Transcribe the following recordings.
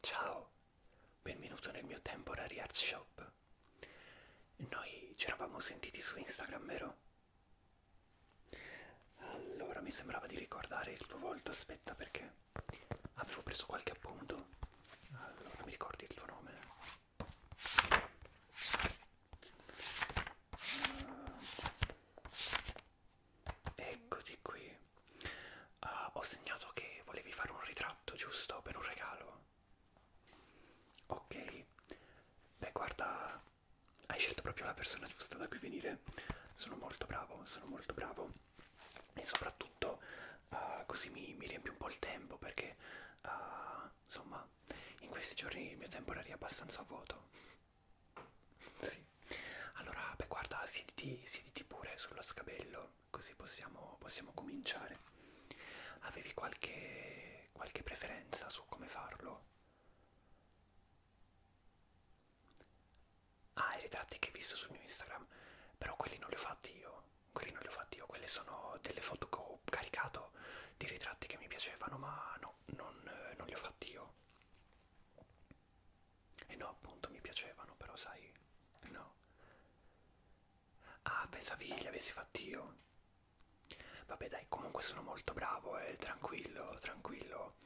Ciao, benvenuto nel mio Temporary Art Shop. Noi ci eravamo sentiti su Instagram, vero? Allora mi sembrava di ricordare il tuo volto, aspetta perché avevo preso qualche appunto. Allora mi ricordi il tuo nome? Eccoti qui. Uh, ho segnato che volevi fare un ritratto, giusto? Per un regalo. Ok. Beh, guarda, hai scelto proprio la persona giusta da cui venire. Sono molto bravo, sono molto bravo. E soprattutto uh, così mi, mi riempie un po' il tempo perché, uh, insomma, ma in questi giorni il mio temporary è abbastanza vuoto. sì. Allora, beh, guarda, siediti, siediti pure sullo scabello, così possiamo, possiamo cominciare. Avevi qualche, qualche preferenza su come farlo? Ah, i ritratti che hai visto sul mio Instagram, però quelli non li ho fatti io, quelli non li ho fatti io, quelle sono delle foto che ho caricato di ritratti che mi piacevano, ma no, non, eh, non li ho fatti io. E no, appunto, mi piacevano, però sai, no. Ah, pensavi li avessi fatti io. Vabbè dai, comunque sono molto bravo, eh, tranquillo, tranquillo.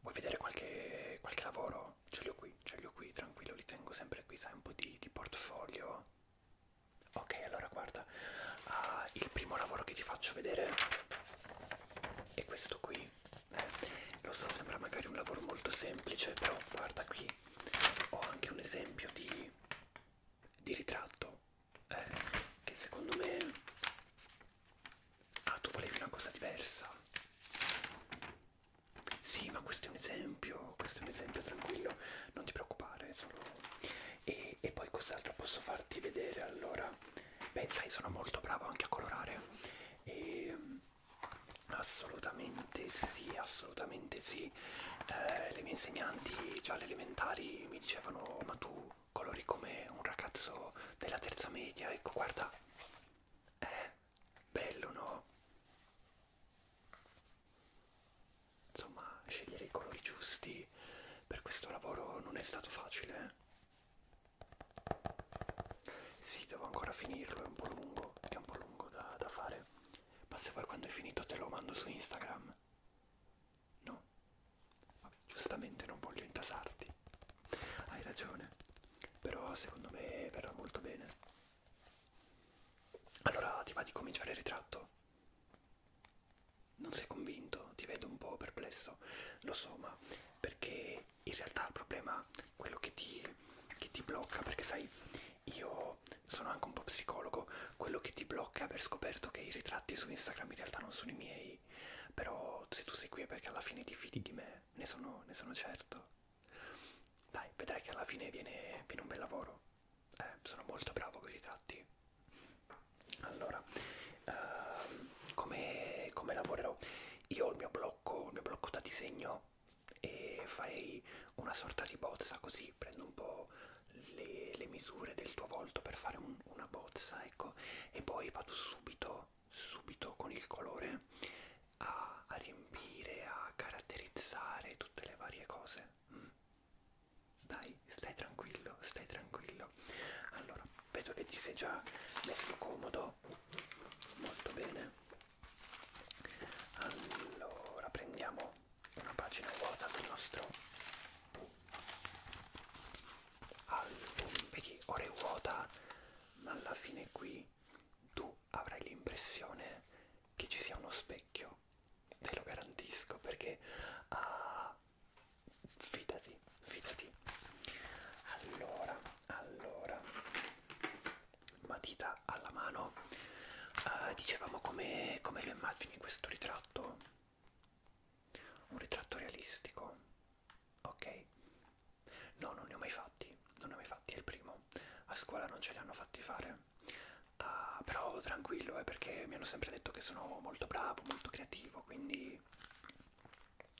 Vuoi vedere qualche, qualche lavoro? Ce li ho qui, ce li ho qui, tranquillo, li tengo sempre qui, sai, un po' di, di portfolio. Ok, allora guarda, uh, il primo lavoro che ti faccio vedere è questo qui. Eh, lo so, sembra magari un lavoro molto semplice, però guarda qui, ho anche un esempio di, di ritratto eh, che secondo me... Ah, tu volevi una cosa diversa. Sì, ma questo è un esempio, questo è un esempio tranquillo, non ti preoccupare, solo e, e poi cos'altro posso farti vedere allora beh sai sono molto bravo anche a colorare e, ehm, assolutamente sì assolutamente sì eh, le mie insegnanti già alle elementari mi dicevano ma tu colori come un ragazzo della terza media ecco guarda eh bello no insomma scegliere i colori giusti per questo lavoro non è stato facile eh? sì devo ancora finirlo è un po' lungo è un po' lungo da, da fare ma se poi quando è finito te lo mando su Instagram no Vabbè, giustamente non voglio intasarti hai ragione però secondo me verrà molto bene allora ti va di cominciare il ritratto non sei convinto? Ti vedo un po' perplesso, lo so, ma perché in realtà il problema è quello che ti, che ti blocca, perché sai, io sono anche un po' psicologo, quello che ti blocca è aver scoperto che i ritratti su Instagram in realtà non sono i miei, però se tu sei qui è perché alla fine ti fidi di me, ne sono, ne sono certo. Dai, vedrai che alla fine viene, viene un bel lavoro eh, sono molto bravo con i ritratti. Allora, ehm, come, come lavorerò? Io ho il mio blocco, il mio blocco da disegno e farei una sorta di bozza così, prendo un po' le, le misure del tuo volto per fare un, una bozza, ecco, e poi vado subito, subito con il colore a, a riempire, a caratterizzare tutte le varie cose. Mm. Dai, stai tranquillo, stai tranquillo. Allora, vedo che ti sei già messo comodo. Molto bene. Allora, prendiamo una pagina vuota del nostro album. Vedi, ora è vuota, ma alla fine qui tu avrai l'impressione che ci sia uno specchio. Te lo garantisco perché ha ah, fidati, fidati. Allora, allora, matita alla mano, uh, dicevamo come, come lo immagini questo ritratto? Un ritratto realistico, ok? No, non ne ho mai fatti, non ne ho mai fatti, è il primo. A scuola non ce li hanno fatti fare, uh, però tranquillo, eh, perché mi hanno sempre detto che sono molto bravo, molto creativo, quindi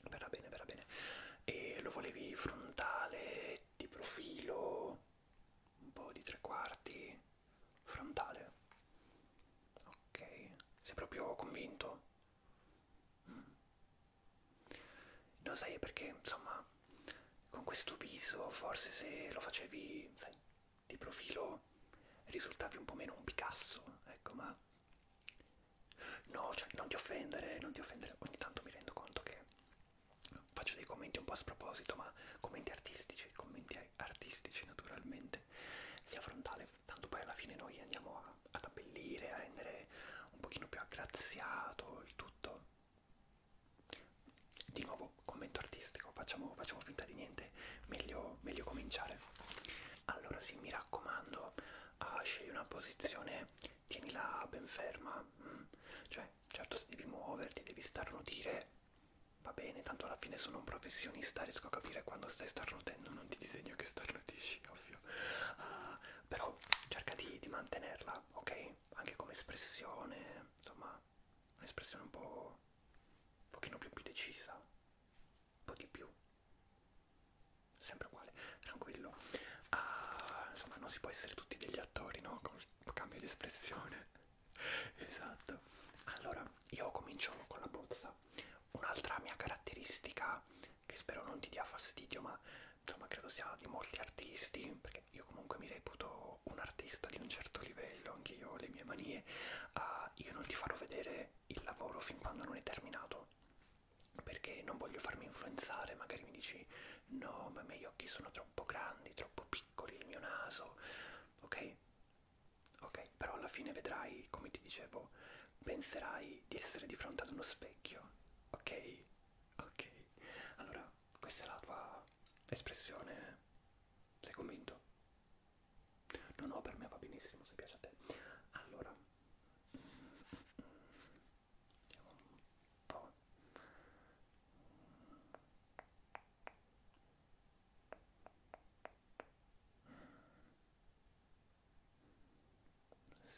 verrà bene, verrà bene. E lo volevi frontale, di profilo, un po' di tre quarti, frontale. Ok, sei proprio convinto? Mm. Non sai perché, insomma, con questo viso forse se lo facevi, sai, di profilo risultavi un po' meno un Picasso, ecco, ma no, cioè, non ti offendere, non ti offendere, ogni tanto mi rendo conto che faccio dei commenti un po' a sproposito, ma commenti artistici, commenti artistici naturalmente, sia frontale, tanto poi alla fine noi andiamo a, ad abbellire, a rendere un pochino più aggraziato il tutto. Di nuovo, commento artistico, facciamo, facciamo finta di niente niente, meglio, meglio cominciare. Allora sì, mi raccomando, uh, scegli una posizione, tienila ben ferma, mm. cioè certo se devi muoverti, devi starnutire, va bene, tanto alla fine sono un professionista, riesco a capire quando stai starnutendo, non ti disegno che starnutisci, ovvio. Uh, però cerca di, di mantenerla, ok? Anche come espressione, insomma, un'espressione un po' un pochino più, più decisa, un po' di più sempre uguale tranquillo ah, insomma non si può essere tutti degli attori no con il cambio di espressione esatto allora io comincio con la bozza un'altra mia caratteristica che spero non ti dia fastidio ma insomma credo sia di molti artisti perché io comunque mi reputo un artista di un certo livello bello, anche io ho le mie manie, uh, io non ti farò vedere il lavoro fin quando non è terminato, perché non voglio farmi influenzare, magari mi dici no, ma i miei occhi sono troppo grandi, troppo piccoli, il mio naso, ok? Ok, però alla fine vedrai, come ti dicevo, penserai di essere di fronte ad uno specchio, ok? Ok, allora questa è la tua espressione, sei convinto? No, no, per me va benissimo, se piace a te. Allora, vediamo un po'.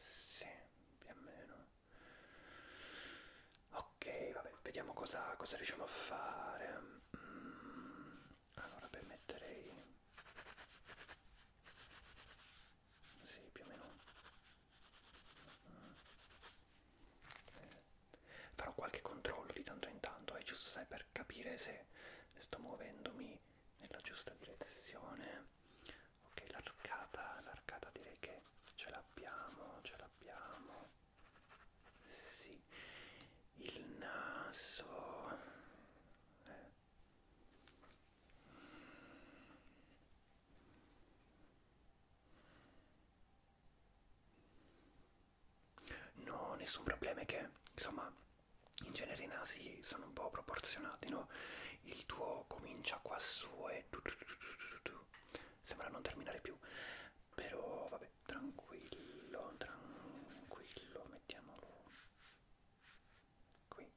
Sì, più o meno. Ok, vabbè, vediamo cosa, cosa riusciamo a fare. Mm, allora beh metterei sì più o meno mm. eh. farò qualche controllo di tanto in tanto è eh, giusto sai per capire se, se sto muovendomi nella giusta direzione ok l'arcata l'arcata direi che ce l'abbiamo ce l'abbiamo sì, il naso eh. no, nessun problema è che insomma in genere i nasi sono un po' proporzionati, no? Il tuo comincia qua su e tu, tu, tu, tu, tu, tu. sembra non terminare più però vabbè tranquillo tranquillo mettiamolo qui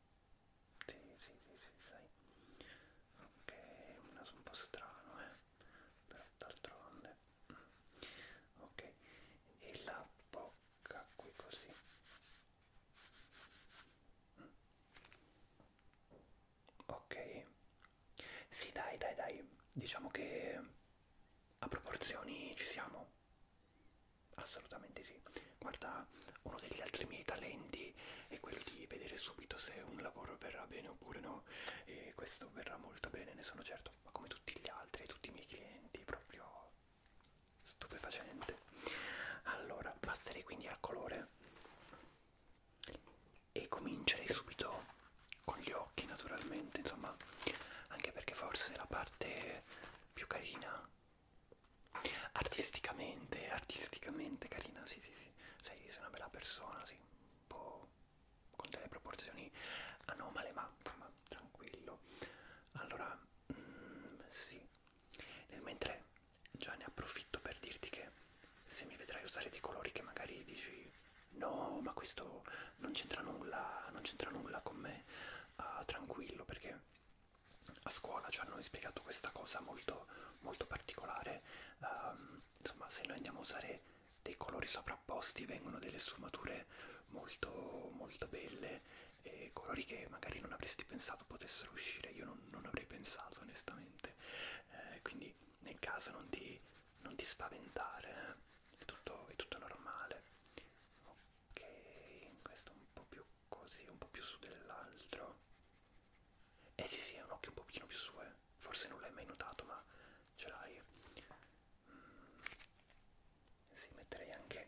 sì sì sì sì dai ok un naso un po' strano eh però d'altronde mm. ok e la bocca qui così mm. ok sì dai dai dai diciamo che a proporzioni ci siamo? Assolutamente sì. Guarda, uno degli altri miei talenti è quello di vedere subito se un lavoro verrà bene oppure no, e questo verrà molto bene, ne sono certo, ma come tutti gli altri, tutti i miei clienti, proprio stupefacente. Allora, passerei quindi al colore e comincerei subito con gli occhi naturalmente, insomma, anche perché forse è la parte più carina artisticamente, artisticamente carina, sì, sì, sì. Sei, sei una bella persona, sì, un po' con delle proporzioni anomale, ma, ma tranquillo. Allora, mm, sì. Nel mentre già ne approfitto per dirti che se mi vedrai usare dei colori che magari dici no ma questo non c'entra nulla non c'entra nulla con me uh, tranquillo perché a scuola ci hanno spiegato questa cosa molto molto particolare um, insomma se noi andiamo a usare dei colori sovrapposti vengono delle sfumature molto molto belle e colori che magari non avresti pensato potessero uscire io non, non avrei pensato onestamente eh, quindi nel caso non ti non ti spaventare, eh. è tutto, è tutto normale. Ok, questo un po' più così, un po' più su dell'altro. Eh sì sì, è un occhio un pochino più su, eh. Forse non l'hai mai notato, ma ce l'hai. Mm. Sì, metterei anche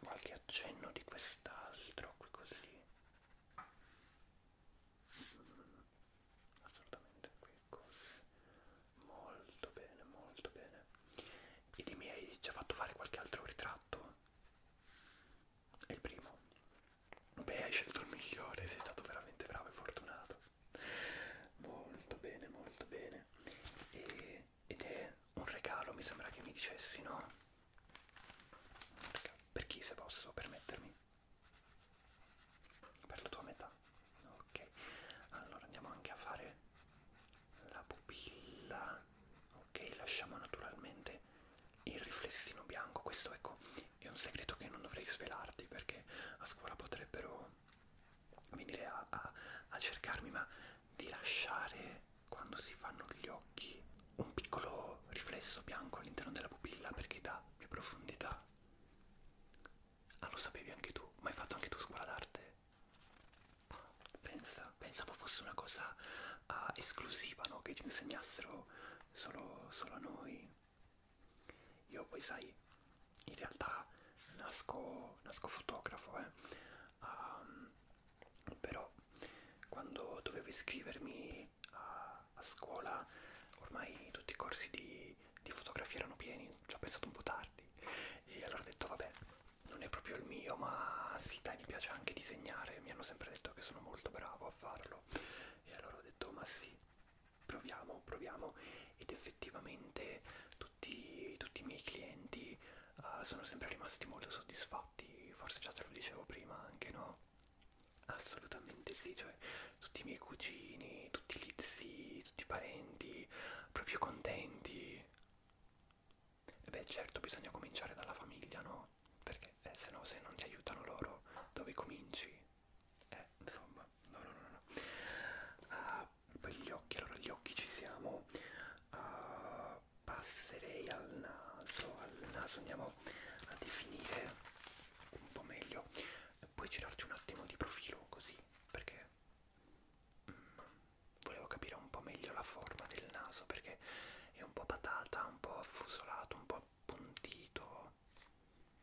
qualche accenno di quest'altro qui così. Mm. Assolutamente qui cose molto bene molto bene ed i miei ci ha fatto fare qualche altro ritratto è il primo beh hai scelto il migliore sei stato veramente bravo e fortunato molto bene molto bene e, ed è un regalo mi sembra che mi dicessi no per chi se posso permettermi per la tua metà basta ok allora andiamo anche a fare la pupilla ok lasciamo naturalmente il riflessino bianco questo ecco è un segreto che non dovrei svelarti perché a scuola potrebbero venire a, a, a cercarmi ma di lasciare quando si fanno gli occhi un piccolo riflesso bianco all'interno della pupilla perché dà più profondità ah lo sapevi anche tu ma hai fatto anche tu scuola d'arte Pensa, pensavo fosse una cosa uh, esclusiva, no? Che ci insegnassero solo, solo a noi. Io poi sai, in realtà nasco, nasco fotografo, eh. Um, però quando dovevo iscrivermi a, a scuola ormai tutti i corsi di, di fotografia erano pieni ci ho pensato un po' tardi e allora ho detto vabbè non è proprio il mio ma sì dai mi piace anche disegnare mi hanno sempre detto che sono molto bravo a farlo e allora ho detto ma sì proviamo proviamo ed effettivamente tutti, tutti i miei clienti uh, sono sempre rimasti molto soddisfatti forse già te lo dicevo prima anche no assolutamente sì cioè tutti i miei cugini tutti gli zii tutti i parenti proprio contenti. E beh certo bisogna cominciare dalla famiglia, no? Perché eh, se no se non ti aiutano loro dove cominci? Eh, insomma, no no no no. Uh, poi gli occhi, allora gli occhi ci siamo. Uh, passerei al naso, al naso andiamo a definire un po' meglio. Puoi girarti un attimo di profilo così, perché volevo capire un po' meglio la forma del naso perché è un po' patata, un po' affusolato, un po' appuntito.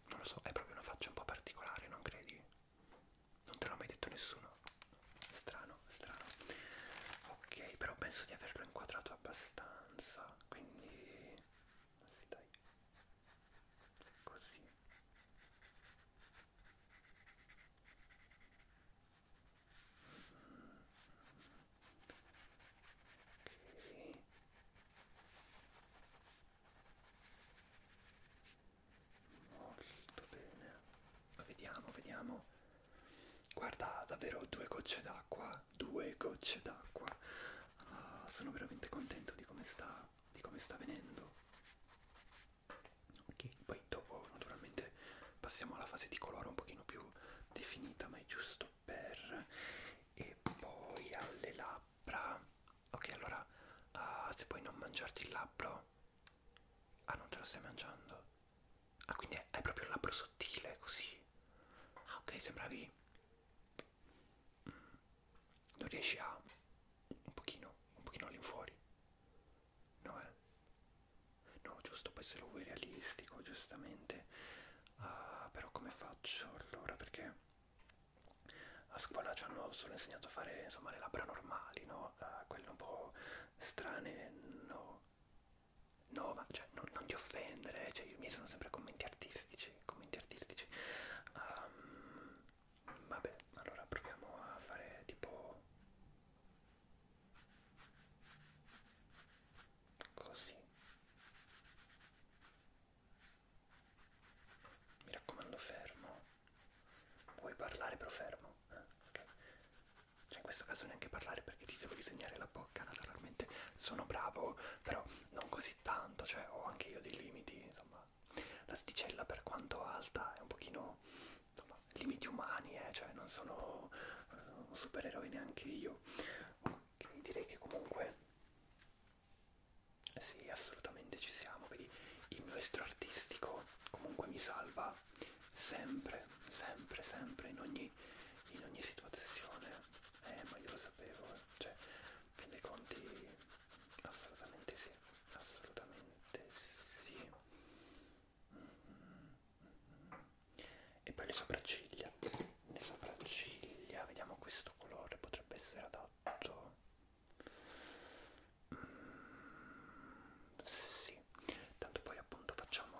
Non lo so, è proprio una faccia un po' particolare, non credi? Non te l'ha mai detto nessuno. Strano, strano. Ok, però penso di averlo inquadrato abbastanza, quindi... Sì, dai. Così. Okay. Molto bene. Vediamo, vediamo. Guarda, davvero due gocce d'acqua, due gocce d'acqua. Uh, sono veramente contento di come sta, di come sta venendo ok poi dopo naturalmente passiamo alla fase di colore un pochino più definita ma è giusto per e poi alle labbra ok allora uh, se puoi non mangiarti il labbro ah non te lo stai mangiando ah quindi hai proprio il labbro sottile così ah ok sembravi mm non riesci a un pochino, un pochino all'infuori, no eh? No, giusto, può essere lui realistico, giustamente, uh, però come faccio allora? Perché a scuola ci hanno solo insegnato a fare insomma le labbra normali, no? Uh, quelle un po' strane, no? No, ma cioè, non, non ti offendere, eh. cioè, i miei sono sempre commenti artistici, commenti artistici. Um, Vabbè, allora proviamo a fare tipo così. Mi raccomando fermo. Puoi parlare però fermo. Eh? Okay. Cioè in questo caso neanche parlare perché ti devo disegnare la bocca naturalmente. Sono bravo, però non così tanto, cioè ho anche io dei limiti, insomma la sticella per quanto alta è un pochino insomma, limiti umani, eh, cioè non sono uh, un supereroe neanche io. Okay, direi che comunque eh sì, assolutamente ci siamo, vedi il mio estro artistico comunque mi salva sempre, sempre, sempre in ogni, in ogni situazione. Eh, ma io lo sapevo, eh. cioè, fin dei conti assolutamente sì, assolutamente sì. Mm -hmm. E poi le sopracciglia. Le sopracciglia, vediamo questo colore, potrebbe essere adatto. Mm, sì, tanto poi appunto facciamo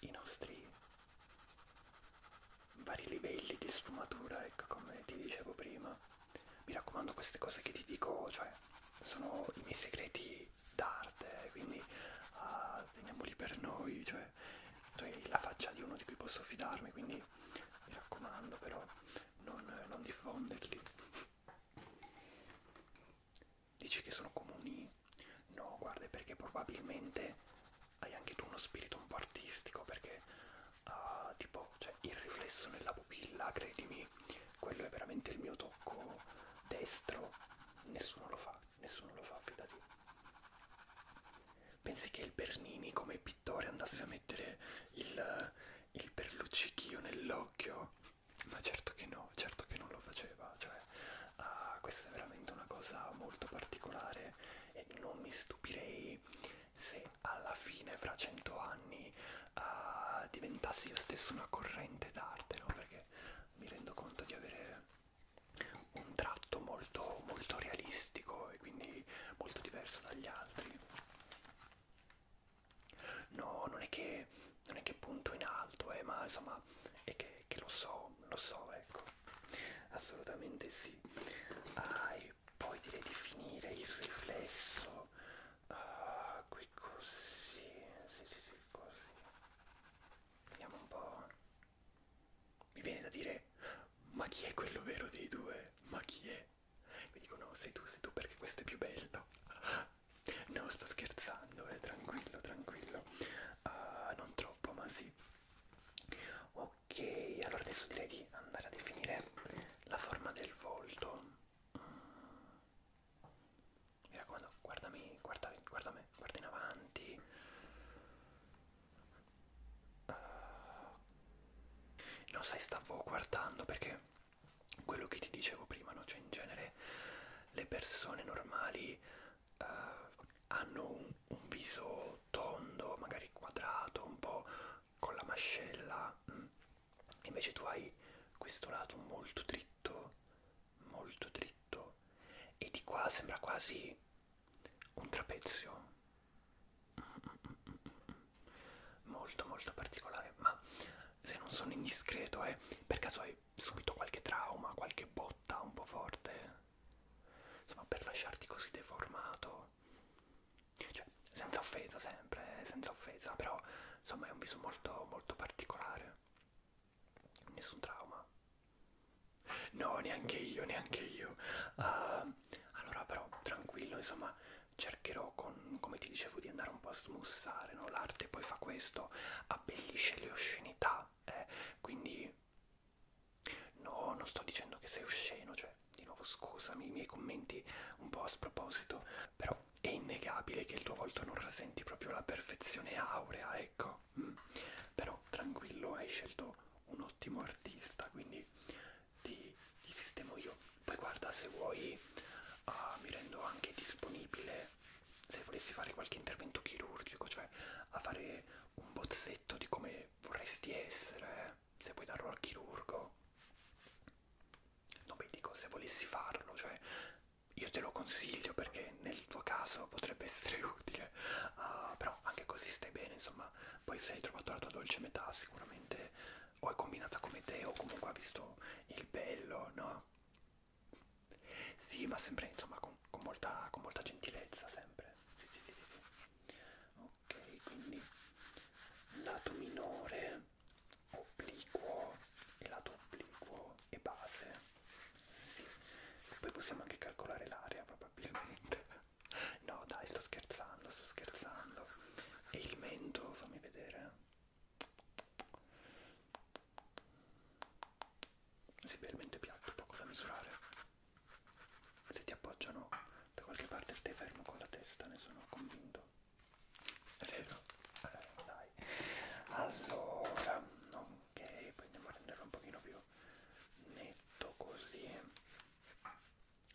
i nostri vari livelli di sfumatura, ecco come ti dicevo prima. Mi raccomando queste cose che ti dico, cioè sono i miei segreti d'arte, quindi uh, teniamoli per noi, cioè tu cioè, la faccia di uno di cui posso fidarmi, quindi mi raccomando però non, non diffonderli. Dici che sono comuni? No, guarda, perché probabilmente hai anche tu uno spirito un po' artistico perché uh, tipo cioè, il riflesso nella pupilla, credimi, quello è veramente il mio tocco destro, nessuno lo fa, nessuno lo fa, fidati. Pensi che il Bernini come pittore andasse a mettere il, il perluccichio nell'occhio? Ma certo che no, certo che non lo faceva, cioè uh, questa è veramente una cosa molto particolare e non mi stupirei se alla fine fra cento anni uh, diventassi io stesso una corrente d'arte, no? Perché mi rendo conto di avere un tratto molto, molto realistico e quindi molto diverso dagli altri. No, non è che, non è che punto in alto, eh, ma insomma è che, che lo so, lo so, ecco. Assolutamente sì. Hai e poi direi di finire il riflesso uh, qui così, sì, sì, sì, così. Vediamo un po'. Mi viene da dire, ma chi è quello vero dei due? Ma chi è? Mi dicono, sei tu, sei tu perché questo è più bello. No, sto scherzando, eh, tranquillo, tranquillo. Uh, non troppo, ma sì. Ok. Ok, allora adesso direi di andare a definire la forma del volto. Mi raccomando, guardami, guarda, guarda me, guarda in avanti. Uh, no, sai, stavo guardando perché quello che ti dicevo prima, no? Cioè, in genere le persone normali uh, hanno un un viso tondo, magari quadrato, un po' con la mascella, invece tu hai questo lato molto dritto, molto dritto, e di qua sembra quasi un trapezio, molto molto particolare, ma se non sono indiscreto, eh, per caso hai subito qualche trauma, qualche botta un po' forte, insomma per lasciarti così deformato cioè, senza offesa sempre, eh, senza offesa, però insomma è un viso molto, molto particolare. Nessun trauma. No, neanche io, neanche io. Uh, allora però, tranquillo, insomma, cercherò, con, come ti dicevo, di andare un po' a smussare, no? L'arte poi fa questo, abbellisce le oscenità, eh? quindi No, non sto dicendo che sei osceno, cioè, di nuovo scusami i miei commenti un po' a sproposito, però è innegabile che il tuo volto non rasenti proprio la perfezione aurea, ecco. Mm. Però tranquillo, hai scelto un ottimo artista, quindi ti, ti sistemo io. Poi guarda, se vuoi uh, mi rendo anche disponibile, se volessi fare qualche intervento chirurgico, cioè a fare un bozzetto di come vorresti essere, eh se vuoi darlo al chirurgo, non vi dico se volessi farlo, cioè io te lo consiglio perché nel tuo caso potrebbe essere utile, uh, però anche così stai bene, insomma, poi se hai trovato la tua dolce metà sicuramente o è combinata come te o comunque ha visto il bello, no? Sì, ma sempre insomma con, con, molta, con molta gentilezza sempre. Sì, sì, sì, sì ok quindi lato minore obliquo e lato obliquo e base sì poi possiamo anche calcolare l'area probabilmente no dai sto scherzando sto scherzando e il mento fammi vedere si sì, è piatto poco da misurare se ti appoggiano da qualche parte stai fermo con la testa, ne sono convinto. È vero? Eh, dai. Allora, ok, andiamo a renderlo un pochino più netto così.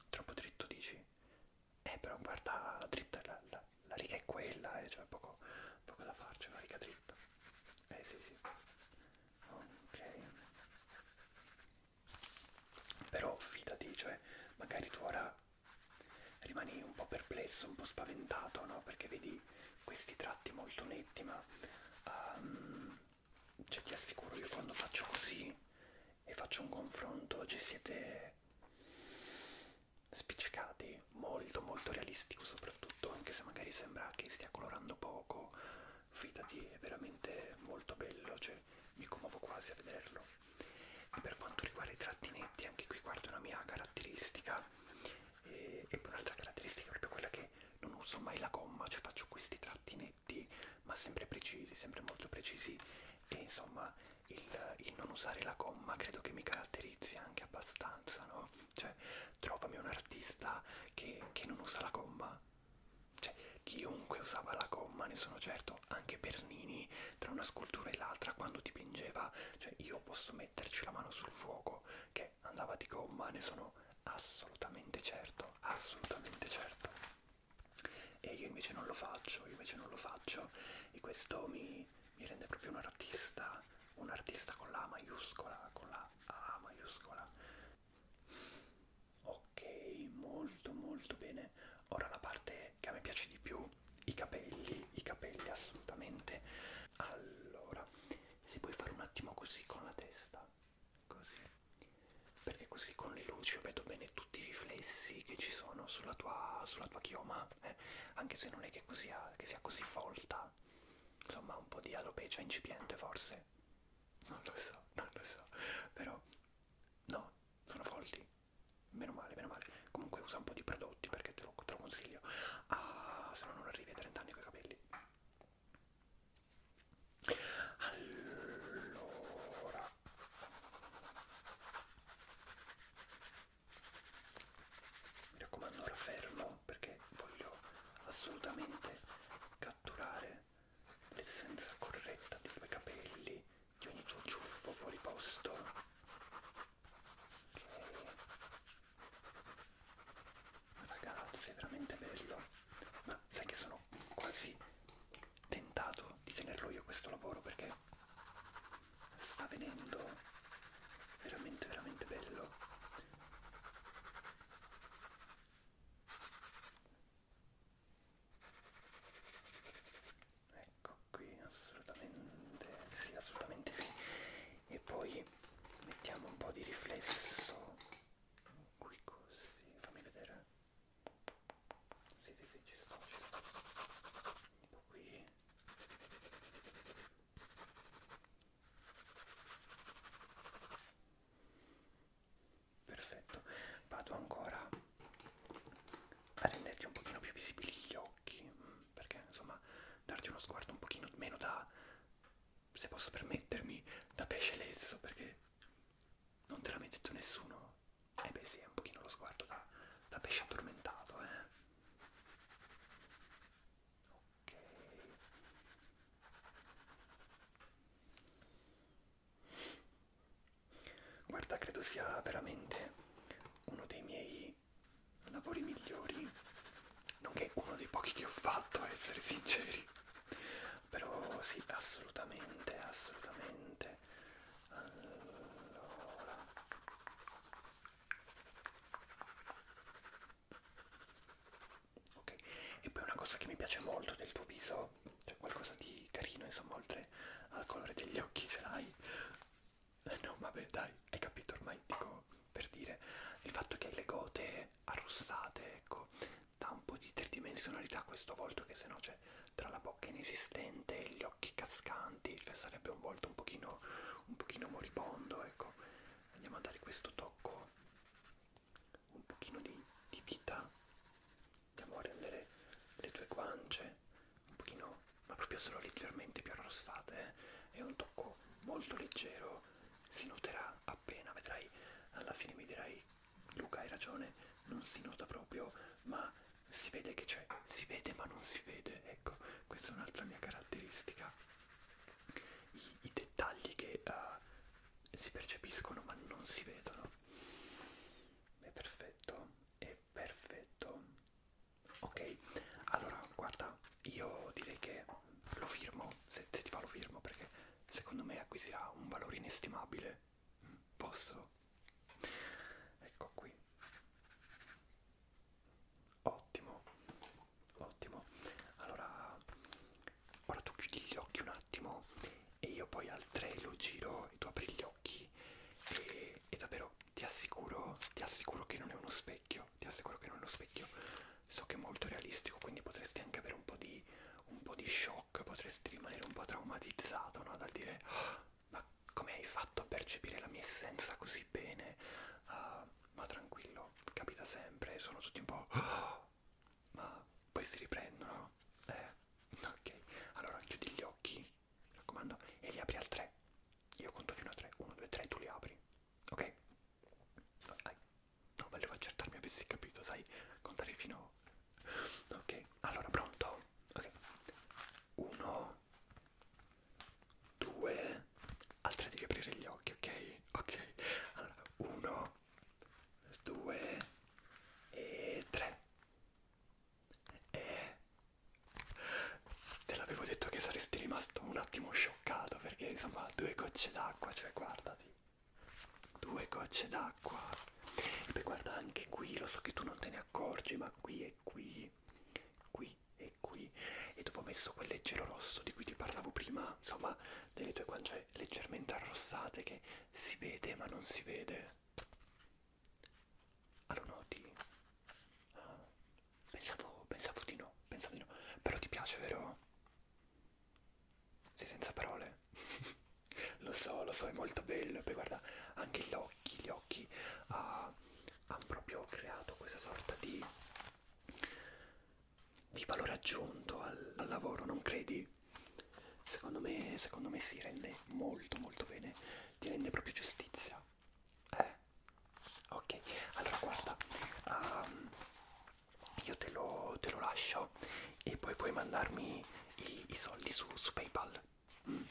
Troppo dritto dici? Eh però guarda la dritta, la, la, la riga è quella, eh, cioè poco, poco da farci, una riga dritta. Eh sì sì. Ok. Però fidati, cioè, magari tu ora rimani un po' perplesso, un po' spaventato, no? Perché vedi questi tratti molto netti, ma um, cioè, ti assicuro io quando faccio così e faccio un confronto ci siete spiccicati molto molto realistico soprattutto anche se magari sembra che stia colorando poco fidati è veramente molto bello, cioè mi commuovo quasi a vederlo. E per quanto riguarda i trattinetti, anche qui guardo una mia caratteristica e, e un'altra caratteristica è proprio quella che non uso mai la gomma, cioè faccio questi trattinetti ma sempre precisi, sempre molto precisi e insomma il, il non usare la gomma credo che mi caratterizzi anche abbastanza, no? Cioè trovami un artista che, che non usa la gomma cioè, chiunque usava la gomma, ne sono certo, anche Bernini, tra una scultura e l'altra, quando dipingeva, cioè io posso metterci la mano sul fuoco che andava di gomma, ne sono assolutamente certo, assolutamente certo. E io invece non lo faccio, io invece non lo faccio e questo mi, mi rende proprio un artista, un artista con la A maiuscola, con la A maiuscola ok molto molto bene ora la parte che a me piace di più i capelli i capelli assolutamente allora se puoi fare un attimo così con la testa così perché così con le luci vedo bene tutti i riflessi che ci sono sulla tua, sulla tua chioma eh? anche se non è che, così ha, che sia così folta insomma un po' di alopecia incipiente forse non lo so, non lo so, però no, sono folti, meno male, meno male, comunque usa un po' di prodotti perché te lo, te lo consiglio, ah, se no non arrivi a 30 anni con i capelli. Allora, mi raccomando ora fermo perché voglio assolutamente catturare l'essenza corretta dei tuoi capelli, di ogni tuo ciuffo fuori posto. Okay. Ragazzi, è veramente bello. Ma sai che sono quasi tentato di tenerlo io questo lavoro perché sta venendo veramente veramente bello ecco qui assolutamente sì assolutamente sì e poi mettiamo un po' di riflesso qui così fammi vedere sì sì sì ci sto ci sto tipo qui perfetto vado ancora a renderti un pochino più visibili gli occhi perché insomma darti uno sguardo un pochino meno da se posso permettermi da pesce lesso perché non te l'ha mai detto nessuno e eh beh sì è un pochino lo sguardo da, da pesce addormentato eh ok Guarda, credo sia veramente uno dei miei lavori migliori, nonché uno dei pochi che ho fatto, a essere sinceri. Però sì, assolutamente, assolutamente. Allora. Ok, e poi una cosa che mi piace molto del tuo viso però c'è qualcosa di carino, insomma, oltre al colore degli occhi ce l'hai. Eh, no, vabbè, dai, hai capito ormai, dico per dire il fatto che hai le gote arrossate, ecco, dà un po' di tridimensionalità a questo volto che se no c'è tra la bocca inesistente e gli occhi cascanti, cioè sarebbe un volto un pochino, un pochino moribondo, ecco. Andiamo a dare questo tocco un pochino di, di vita, andiamo a rendere le tue guance un pochino, ma proprio solo leggermente più arrossate eh? è un tocco molto leggero, si noterà appena, vedrai, alla fine mi dirai Luca hai ragione, non si nota proprio, ma si vede che c'è, si vede ma non si vede, ecco, questa è un'altra mia caratteristica. I, i dettagli che uh, si percepiscono ma non si vedono è perfetto è perfetto ok allora guarda io direi che lo firmo se, se ti va lo firmo perché secondo me acquisirà un valore inestimabile mm, posso ecco qui ottimo ottimo allora ora tu chiudi gli occhi un attimo e io poi al 3 lo giro e tu apri gli occhi e, e davvero ti assicuro, ti assicuro che non è uno specchio, ti assicuro che non è uno specchio, so che è molto realistico quindi potresti anche avere un po' di, un po di shock, potresti rimanere un po' traumatizzato no? dal dire oh, ma come hai fatto a percepire la mia essenza così bene, uh, ma tranquillo, capita sempre, sono tutti un po' oh, ma poi si riprendono. Eh, ok, allora chiudi gli occhi, mi raccomando, e li apri al 3. Io conto fino a 3, 1, 2, 3, tu li apri, ok? No, dai. no volevo accertarmi avessi capito, sai, contare fino... Ok, allora pronto? Ok, 1, 2, al 3 devi aprire gli occhi, ok? Ok, allora 1, 2 e 3 e te l'avevo detto che saresti rimasto un attimo scioccato perché insomma due gocce d'acqua cioè guardati due gocce d'acqua e poi guarda anche qui lo so che tu non te ne accorgi ma qui e qui qui e qui e dopo ho messo quel leggero rosso di cui ti parlavo prima insomma delle tue guance leggermente arrossate che si vede ma non si vede allora noti ah, pensavo, pensavo di no pensavo di no però ti piace vero sei senza parole lo so lo so è molto bello poi guarda anche gli occhi gli occhi ah, hanno proprio creato questa sorta di di valore aggiunto al, al lavoro non credi Secondo me, secondo me si rende molto molto bene, ti rende proprio giustizia. Eh? Ok, allora guarda, um, io te lo, te lo lascio e poi puoi mandarmi i, i soldi su, su PayPal. Mm.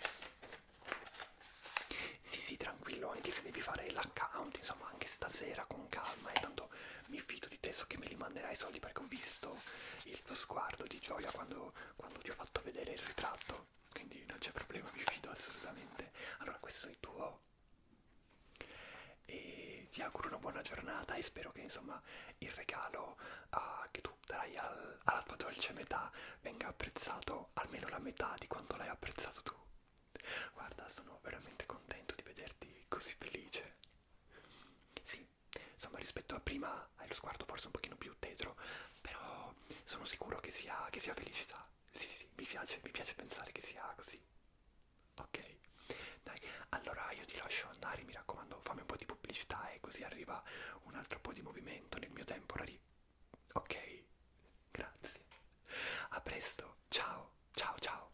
Sì, sì, tranquillo, anche se devi fare l'account, insomma, anche stasera con calma e eh, tanto mi fido di te, so che me li manderai i soldi perché ho visto il tuo sguardo di gioia quando, quando ti ho fatto vedere il ritratto, quindi non c'è problema, mi fido assolutamente. Allora questo è il tuo e ti auguro una buona giornata e spero che insomma il regalo uh, che tu darai al, alla tua dolce metà venga apprezzato almeno la metà di quanto l'hai apprezzato tu. Guarda, sono veramente contento di vederti così felice. Sì, insomma rispetto a prima hai lo sguardo forse un pochino più tetro, però sono sicuro che sia, che sia felicità. Sì, sì, sì, mi piace, mi piace pensare che sia così. Ok, dai, allora io ti lascio andare, mi raccomando, fammi un po' di pubblicità e così arriva un altro po' di movimento nel mio temporary. Ok, grazie. A presto, ciao, ciao, ciao.